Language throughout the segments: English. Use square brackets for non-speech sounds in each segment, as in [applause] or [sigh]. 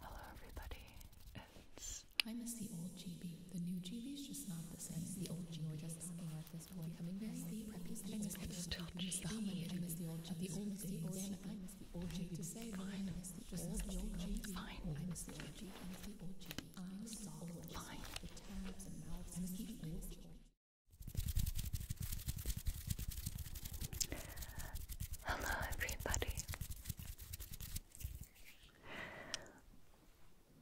Hello, everybody. It's I miss the old GB. The new GB is just not the same. The old GB. We just talking about this one. Becoming very sleep. I miss the old GB. I miss the old GB. The old GB. I miss the old GB. To say fine. Just old GB. Fine. I miss the old GB. I miss the old GB. I miss the old GB. Hello, everybody.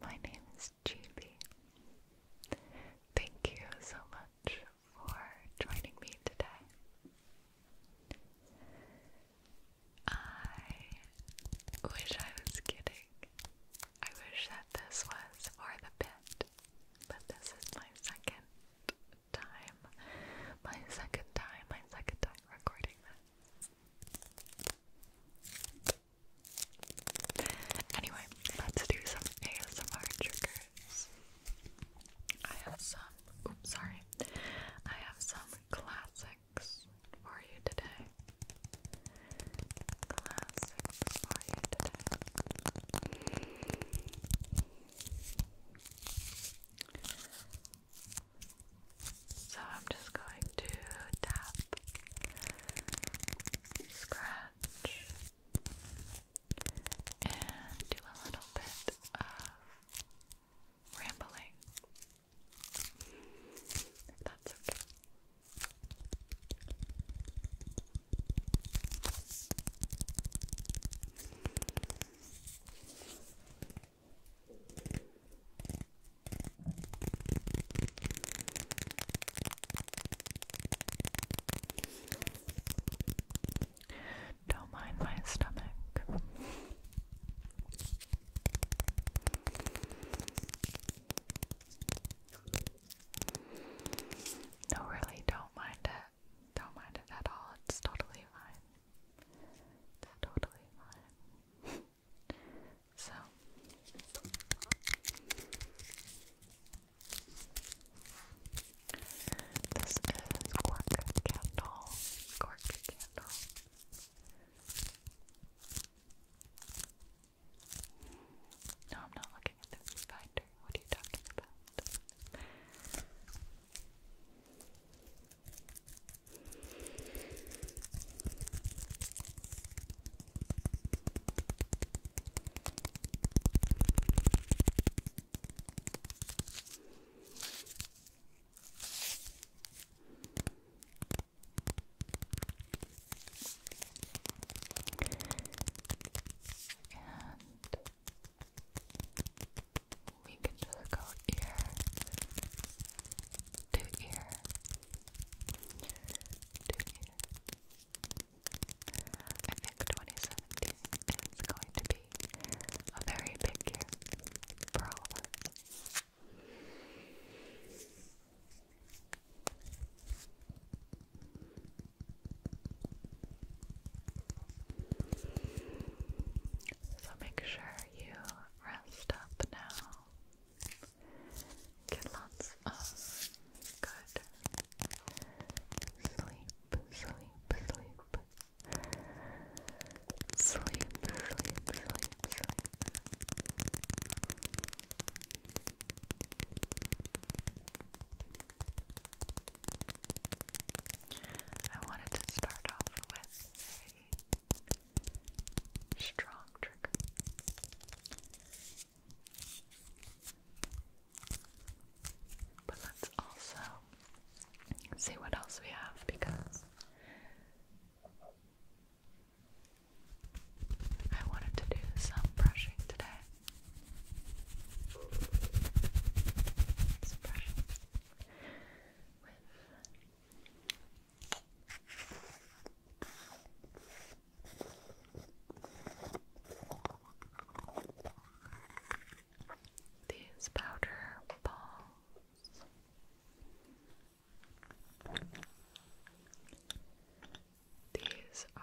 My name is Julie. Thank you so much for joining me today. I wish I was kidding. I wish that this was for the bit, but this is my second time. My second time, my second time recording this. Anyway, let's do some ASMR triggers. I have some, oops, sorry. I have some classics for you today. Classics for you today. So I'm just going to tap, scratch, and do a little bit of rambling. If that's okay. Don't mind my stomach. No, really, don't mind it. Don't mind it at all. It's totally fine. It's totally fine. [laughs] so this is cork candle. Cork candle. No, I'm not what are you talking about? And we can just go ear to ear I think 2017 is going to be a very big year so make sure you rest up now. Get lots of good sleep, sleep, sleep. Sleep, sleep, sleep, sleep. I wanted to start off with a strong trigger. But let's also see what else we have because I wanted to do some brushing today. Let's these powder balls. These are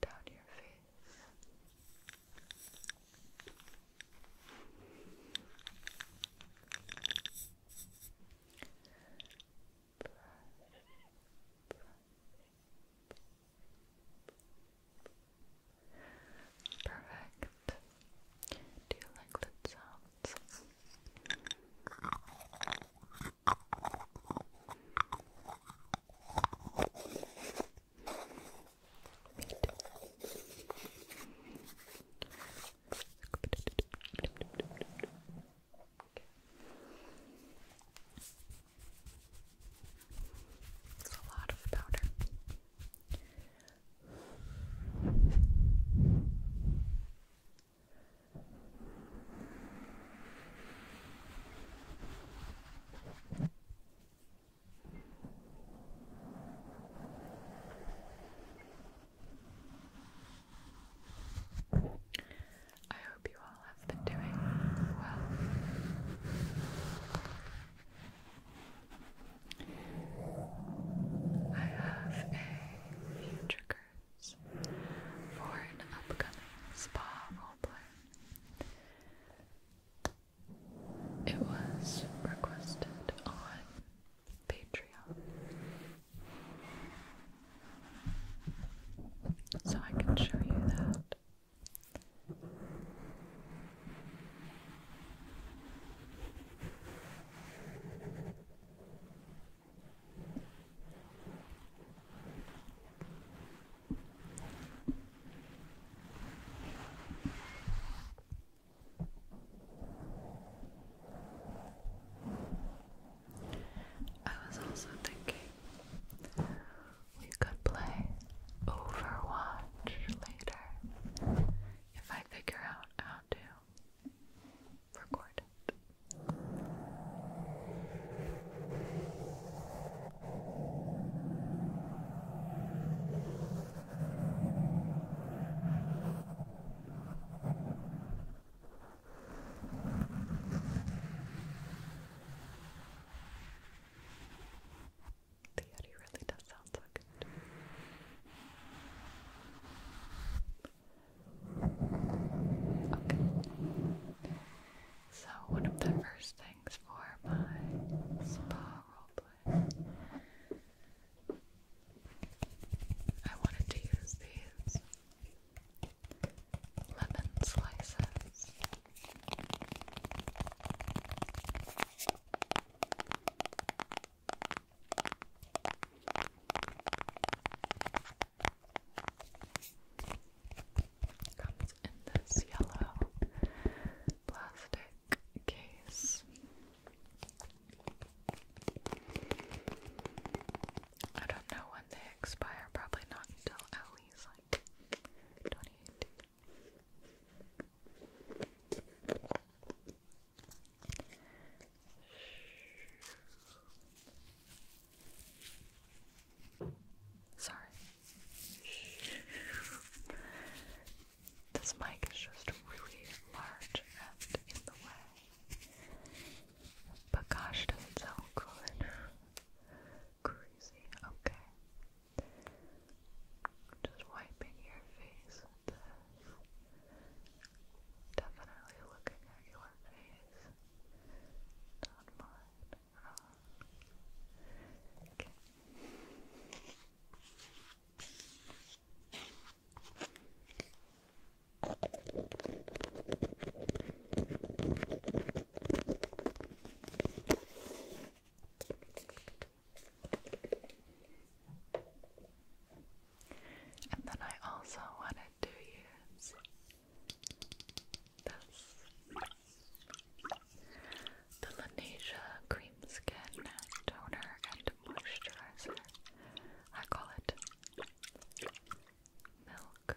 down your face. Perfect. Do you like the sounds? It's a lot of powder. Okay. I hope you all have been doing well. I have a few triggers for an upcoming spa roleplay. It was requested on Patreon. So I can show you that. I was also thinking we could play Overwatch later if I figure out how to record it. The Yeti really does sound so good. Okay. So one of the first things for my spa roleplay, I wanted to use these lemon slices. Comes in this yellow plastic case. I don't know when they expire, probably not until at least like 2018. Sorry. This mic is just really large and in the way. But gosh, does it sound good? Crazy. Okay. Just wiping your face Definitely looking at your face, not mine. Okay. And then I also wanted to use The Lanesia Cream Skin Toner and Moisturizer. I call it Milk.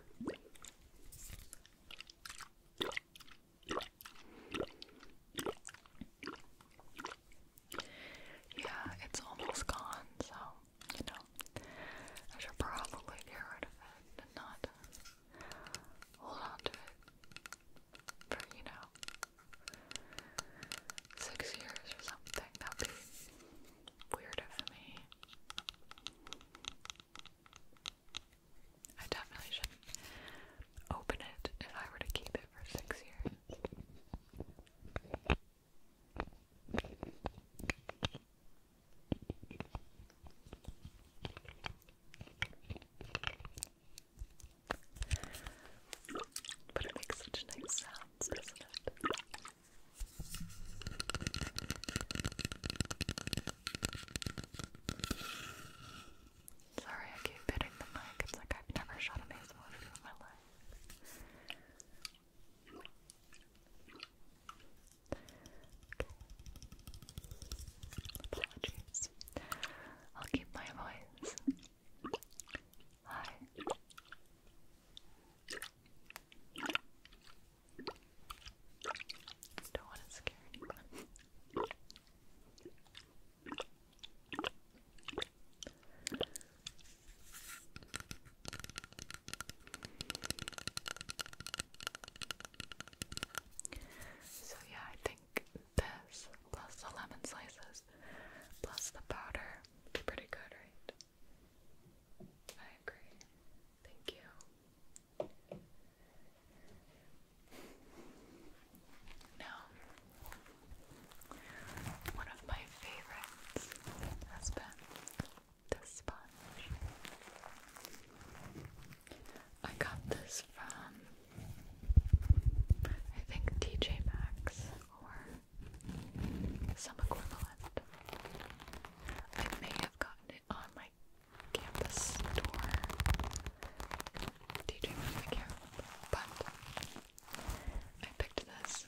Yeah, it's almost gone, so you know, I should probably get rid of it and not hold on to it for, you know, six years or something. That'd be weird of me. I definitely shouldn't open it if I were to keep it for six years. But it makes such nice sounds, doesn't it? Sorry, I keep hitting the mic. It's like I've never shot a maze in my life. Apologies. I'll keep my voice. Hi. Don't want to scare anyone. So yeah, I think this plus the lemon slices plus the powder be pretty good, right? I agree. Thank you. Now, one of my favorites has been this sponge. I got this from, I think, TJ Maxx or some equivalent. I may have gotten it on my campus store. TJ Maxx, But I picked this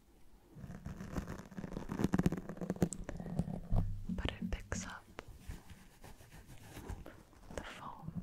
but it picks up the foam.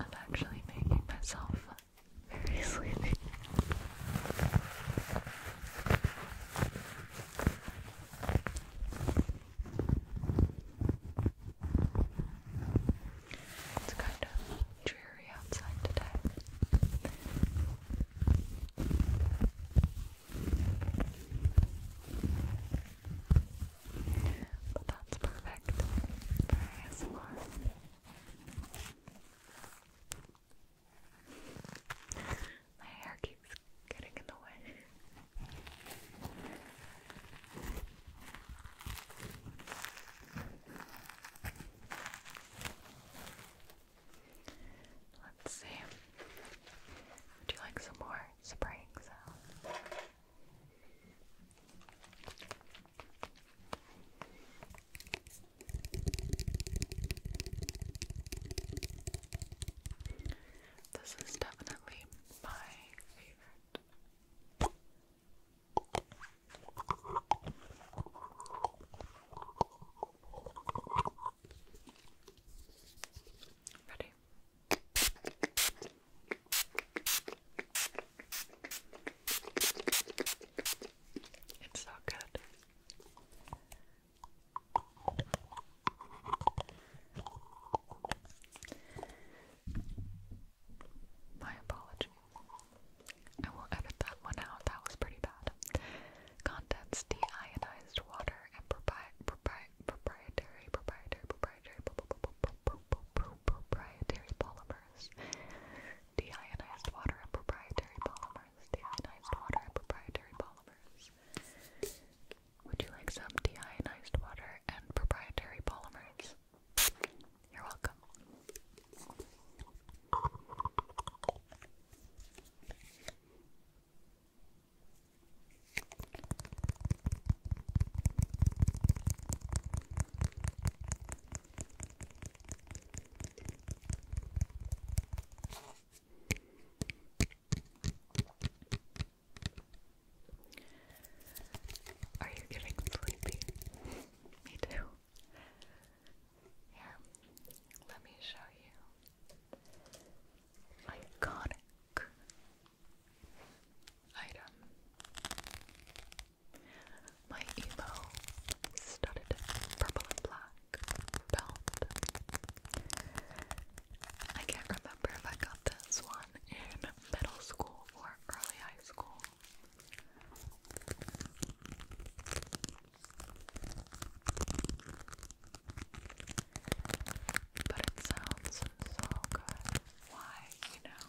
I'm actually making myself very sleepy. It's kind of dreary outside today. But that's perfect for ASMR. My hair keeps getting in the way. Let's see. Would you like some more spraying this is definitely my favorite. Ready? It's so good. My apologies. I will edit that one out. That was pretty bad. Contents deionized water and propri propri proprietary, proprietary, proprietary, proprietary polymers, deionized water and proprietary polymers, deionized water and proprietary polymers. Would you like some deionized water and proprietary polymers? You're welcome. Are you getting sleepy? [laughs] Me too. Here, let me show you. Iconic item. My emo studded purple and black belt. I can't remember if I got this one in middle school or early high school. But it sounds so good. Why, you know?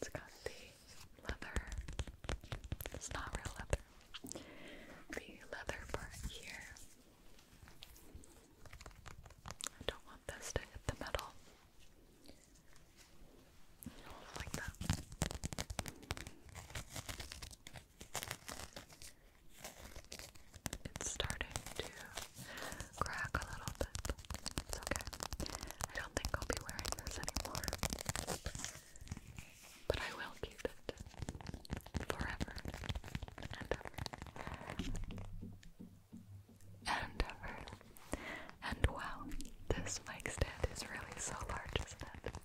It's got the leather. It's not real leather. The leather part here. I don't want this to hit the metal. Like that. It's starting to crack a little bit. It's I don't think I'll be wearing this anymore. But I will keep it forever and ever. And ever. And wow, this mic stand is really so large, isn't it?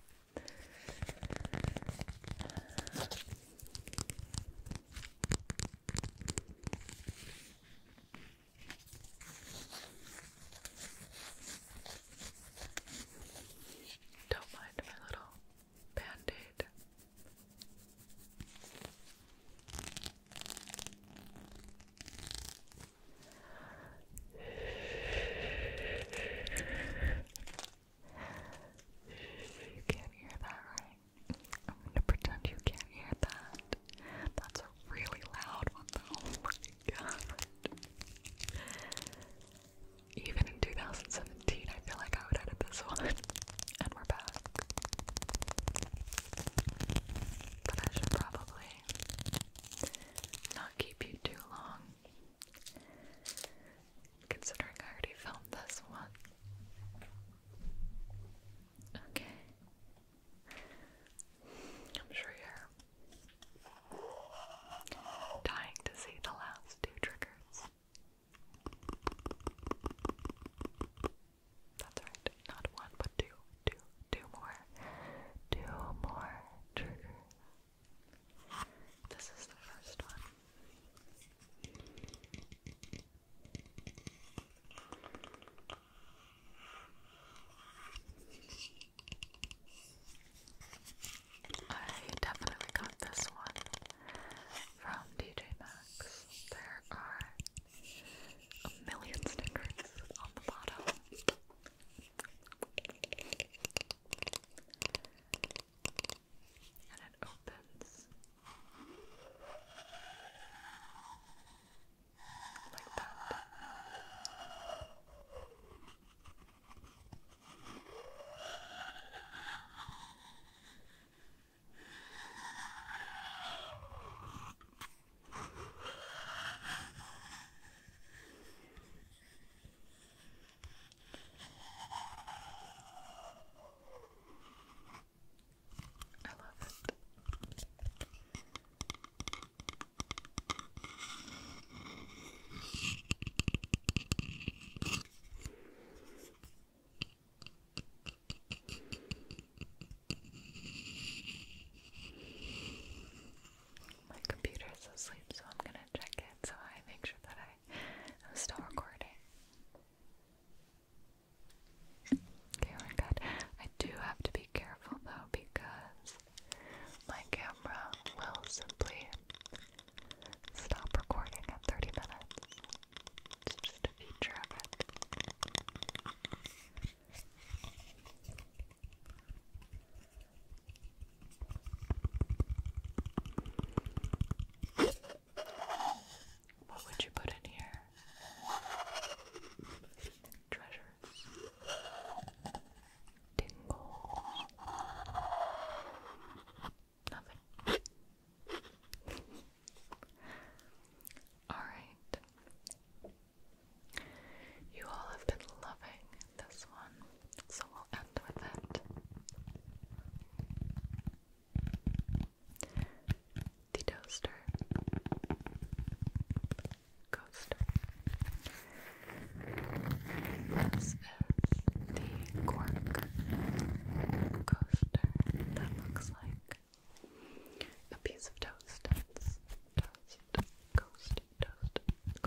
Don't mind my little band you can't hear that, right? I'm gonna pretend you can't hear that. That's a really loud one, Oh my god. Even in 2017, I feel like I would edit this one. And we're back. But I should probably not keep you too long considering I already filmed this one. Okay. I'm sure you're dying to see the last two triggers. That's right, not one, but two, two, two more, two more triggers. This is the first one. I definitely got this one from DJ Maxx. There are a million stickers on the bottom and it opens like that. I love it. My computer's asleep, so I'm gonna check it so I make sure that I Okay, I'm still recording. Okay, we're oh good. I do have to be careful though because my camera will simply stop recording at 30 minutes. just a feature of what would you put in here? Treasures. Tingles. Nothing. [laughs] Alright. You all have been loving this one so we'll end with that. The toaster, coaster. This is the cork coaster that looks like a piece of toast. Toast, toast, toast, toast,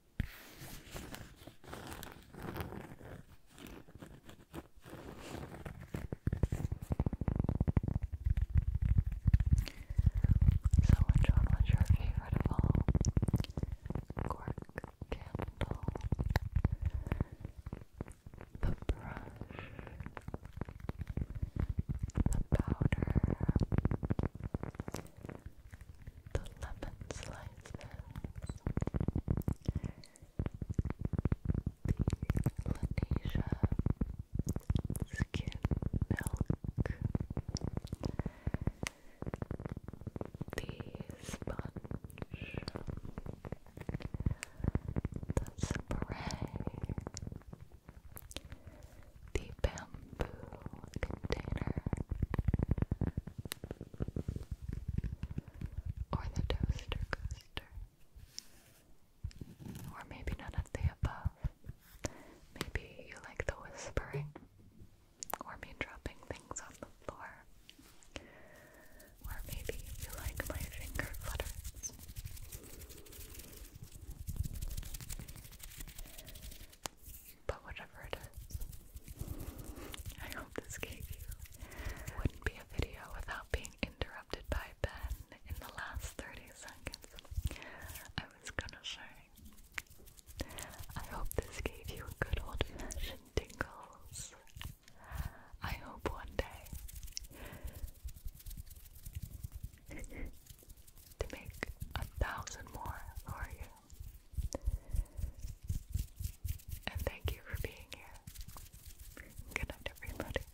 So which one was your favorite of all? Cork candle, the brush, the powder, the lemon slices, the Lanesia skin milk, the sponge, the spray, the bamboo container, or the toaster coaster, or maybe none of the above. Maybe you like the whispering, or me dropping things on the floor, or maybe you like my finger flutters. But whatever it is, I hope this gave you. wouldn't be a video without being interrupted by Ben in the last 30 seconds. I was gonna say, I hope this gave you good old fashioned tingles. I hope one day [laughs] to make a thousand more for you. And thank you for being here. Good night, everybody.